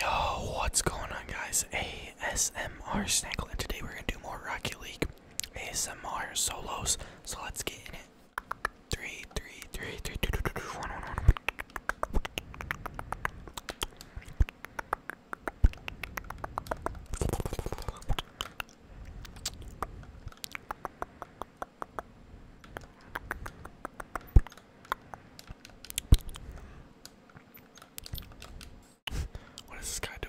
Yo, what's going on guys? ASMR Snackle and today we're gonna do more Rocky League ASMR solos. So let's get in it. Three, three, three, three, two, two, two, two, one, one, one. What is this guy doing?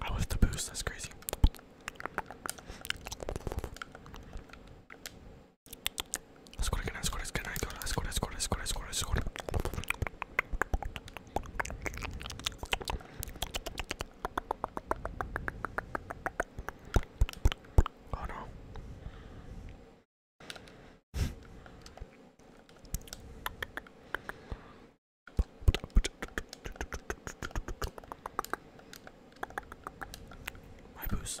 I left the boost, that's crazy. Let's go again, let's go, let's go, let's go, let's go, let's go, let's go, let's go. Oh no. My boost.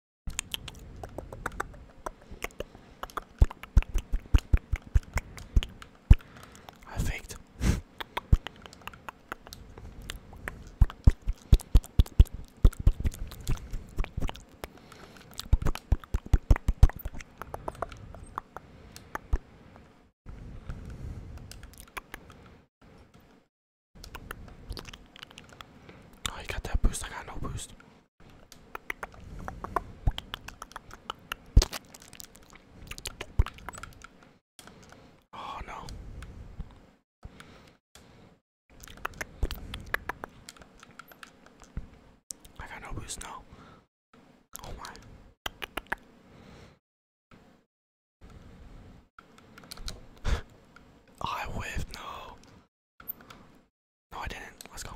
I faked. Oh, got that boost. I got no boost. Oh no. I got no boost now. Oh my. I whiffed, no. No, I didn't. Let's go.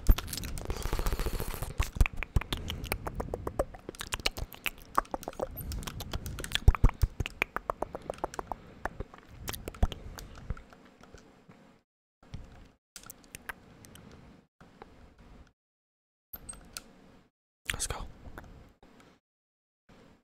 Let's go.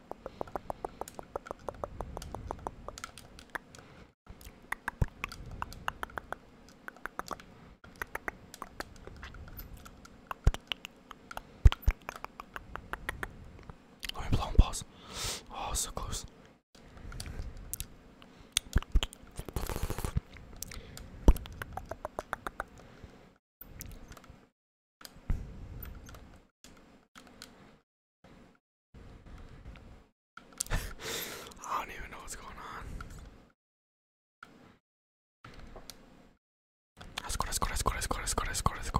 Let me blow on pause. Oh, so close. I don't even know what's going on. Let's go, let's go, let's go, let's go, let's go, let's go, let's go.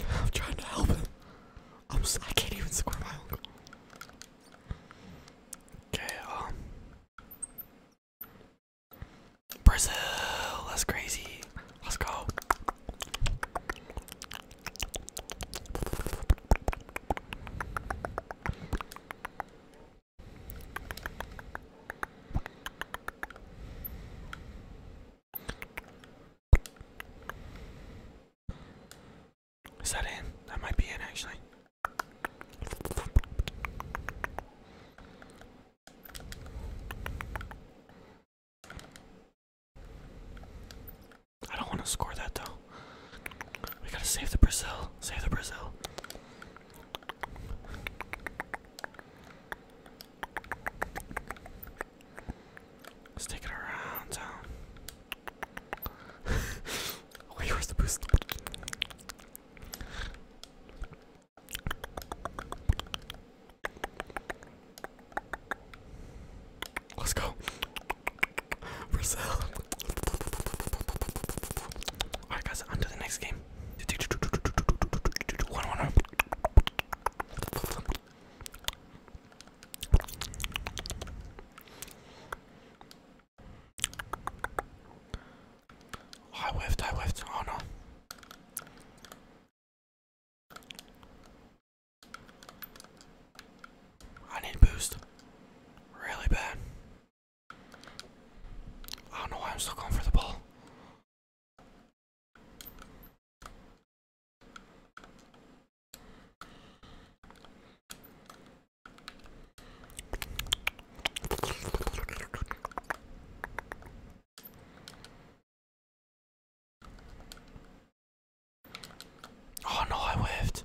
I'm trying to help him. I'm I can't even score my own goal. Okay, um. Brazil, that's crazy. Let's go. Is that in? That might be in actually. I don't want to score that though. We gotta save the Brazil. Save the Brazil. Let's it around town. Wait, where's the boost? Let's go. Brazil. Alright guys, on to the next game. I whiffed, I whiffed, oh no. I need a boost. Really bad. I don't know why I'm so comfortable. Oh no, I whiffed.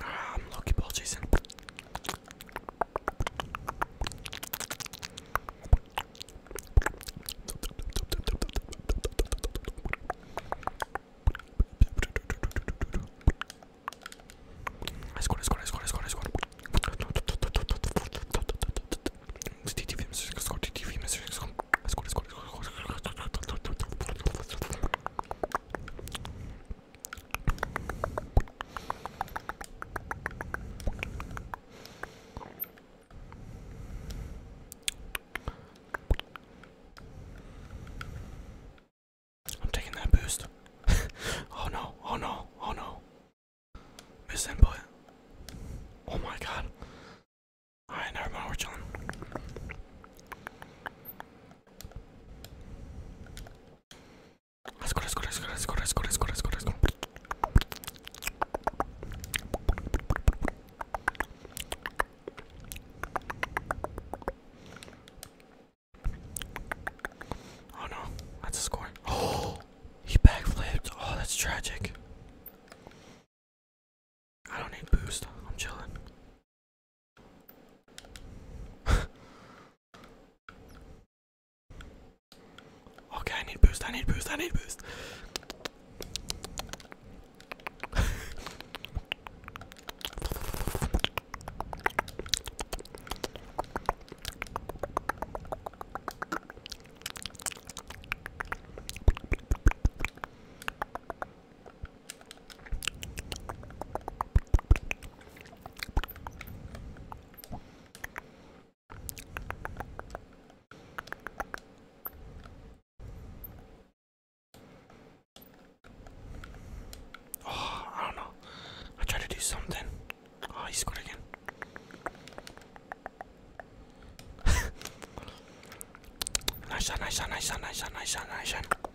Um, Loki Ball Jason. I scored, I scored, I scored, I scored, I scored. I'm taking that boost. oh no, oh no, oh no. Miss Oh my god. Alright, never mind, we're chilling. Let's go, let's go, let's Oh no, that's a score. Oh, he backflipped. Oh, that's tragic. I don't need boost. I'm chilling. okay, I need boost. I need boost. I need boost. Oh, I don't know. I tried to do something. Oh, he scored again. nice shot, nice shot, nice shot, nice shot, nice shot, nice shot.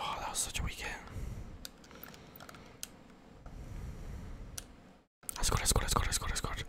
Oh, that was such a weekend. Let's go, let's go, let's go, let's go, let's go.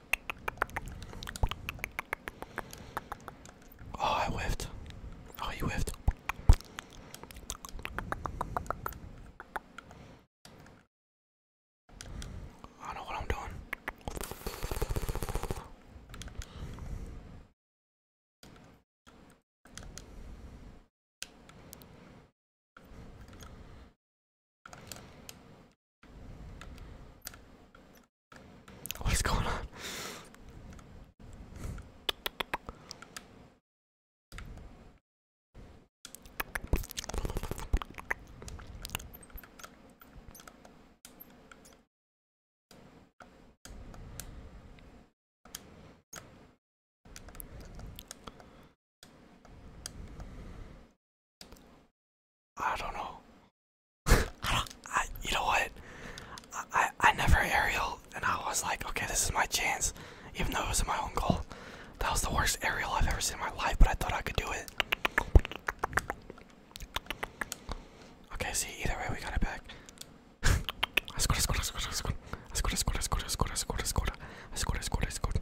Oh, I whiffed. Oh, you whiffed. I know what I'm doing. What's going on? I don't know. I don't. I, you know what? I, I never aerial, and I was like, okay, this is my chance. Even though it was my own goal, that was the worst aerial I've ever seen in my life. But I thought I could do it. Okay, see, either way, we got it back. I scored, I scored, I scored, I scored, I scored, I scored, I scored, I scored, I scored, I scored, I scored, I scored, I scored, I scored.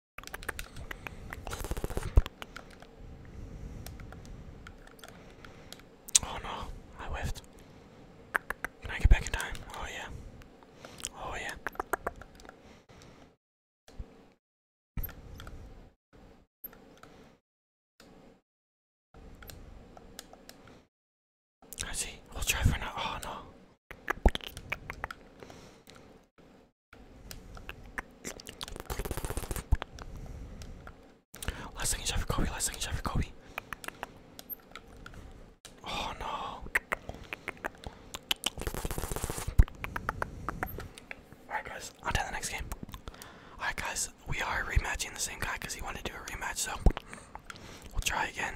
Oh no, I whiffed. Can I get back in time? Oh yeah. Oh yeah. I see. We'll try for now. Oh no. Last second shot for Kobe. Last second shot for Kobe. Oh no. Alright guys, on to the next game. Alright guys, we are rematching the same guy because he wanted to do a rematch, so we'll try again.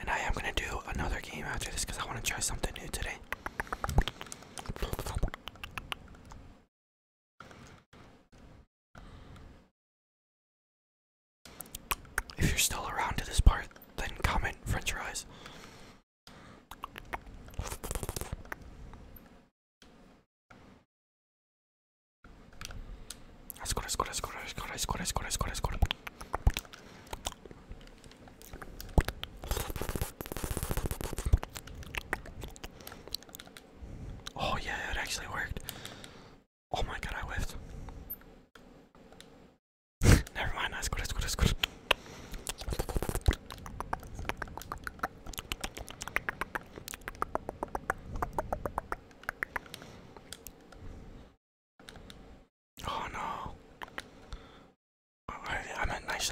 And I am gonna do another game after this because I want to try something new today. If you're still around to this part, then comment French fries. Let's go, let's go, let's go, let's go, let's go, let's go, let's go, Oh, yeah, it actually worked. Oh my god, I whiffed. Never mind, that's good, that's good, that's good. Oh no. Oh, I'm nice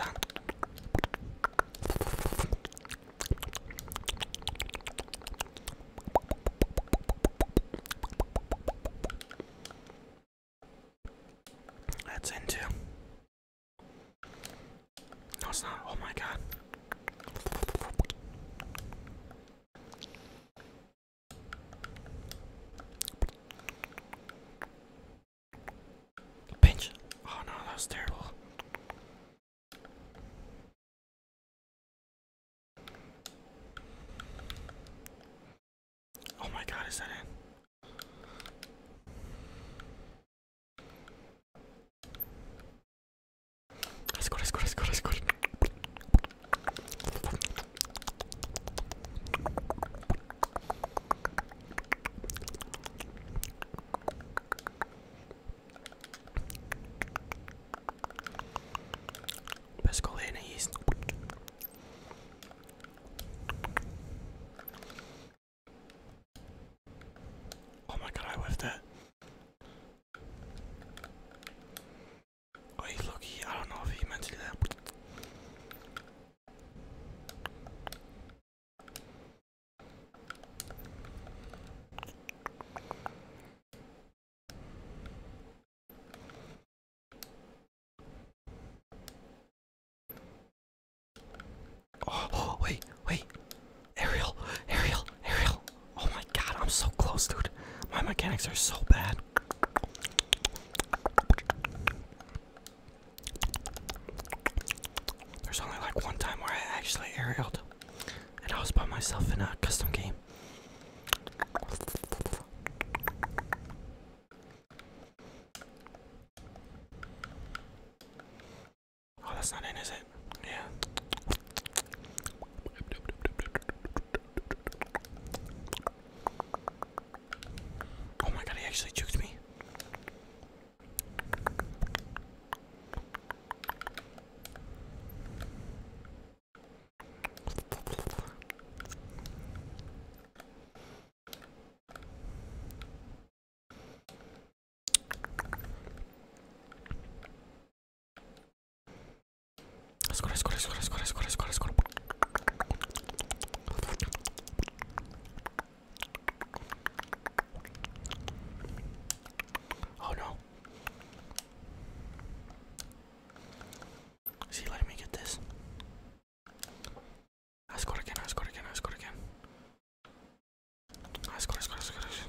That's into. No, it's not. Oh my god. Pinch. Oh no, that was terrible. Oh my god, is that it? Let's go, let's go, let's go, let's go. Best call in East. Oh my god, I whiffed it. Oh, he's lucky. I don't know if he meant to do that. oh wait, wait. Ariel, Ariel, Ariel. Oh my god, I'm so close, dude. My mechanics are so bad. There's only like one time where I actually aerialed, and I was by myself in a custom game. Oh, that's not in, is it? Yeah. Oh my god, he actually juked me. Skoro, skoro, skoro, skoro, skoro, skoro, skoro. Oh no. See, let me get this. I scored again, I scored again, I scored again. I scored, I scored, I scored. I scored.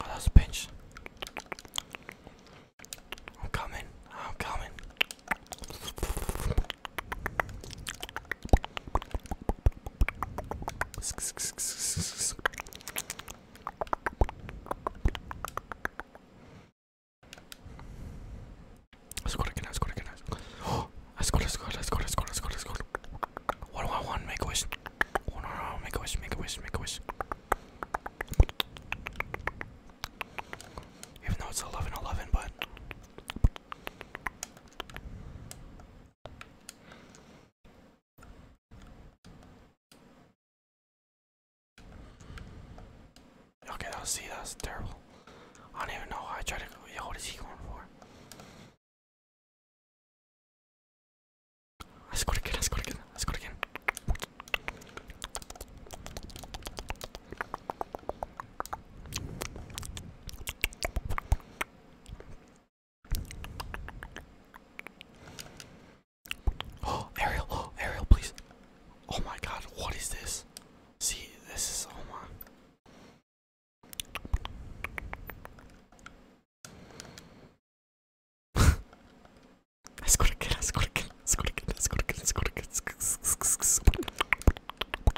Oh, that's a pinch. I'm coming. I'm coming. Score again, score again. Oh, I scored, I scored, I scored, I scored, I scored, I scored. What do I want? Make a wish. Oh, no, no, make a wish, make a wish, make a wish. Even though it's 11 11, but. Okay, I was, see, That's terrible. I don't even know how I tried to go. Yo, what is he going for? I scored again, I scored again, I go again. Oh, Ariel, Ariel, please. Oh my god, what is this? See, this is, oh my. Let's go again, let let's go again, let let's go again, let let's go again, let let's go again, let let's go again, let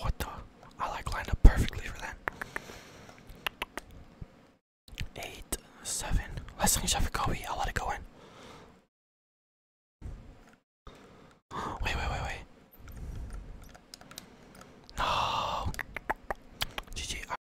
What the? I like lined up perfectly for that. Eight, seven. Let's finish up Kobe. I'll let it go in. Wait, wait, wait, wait. No. GG.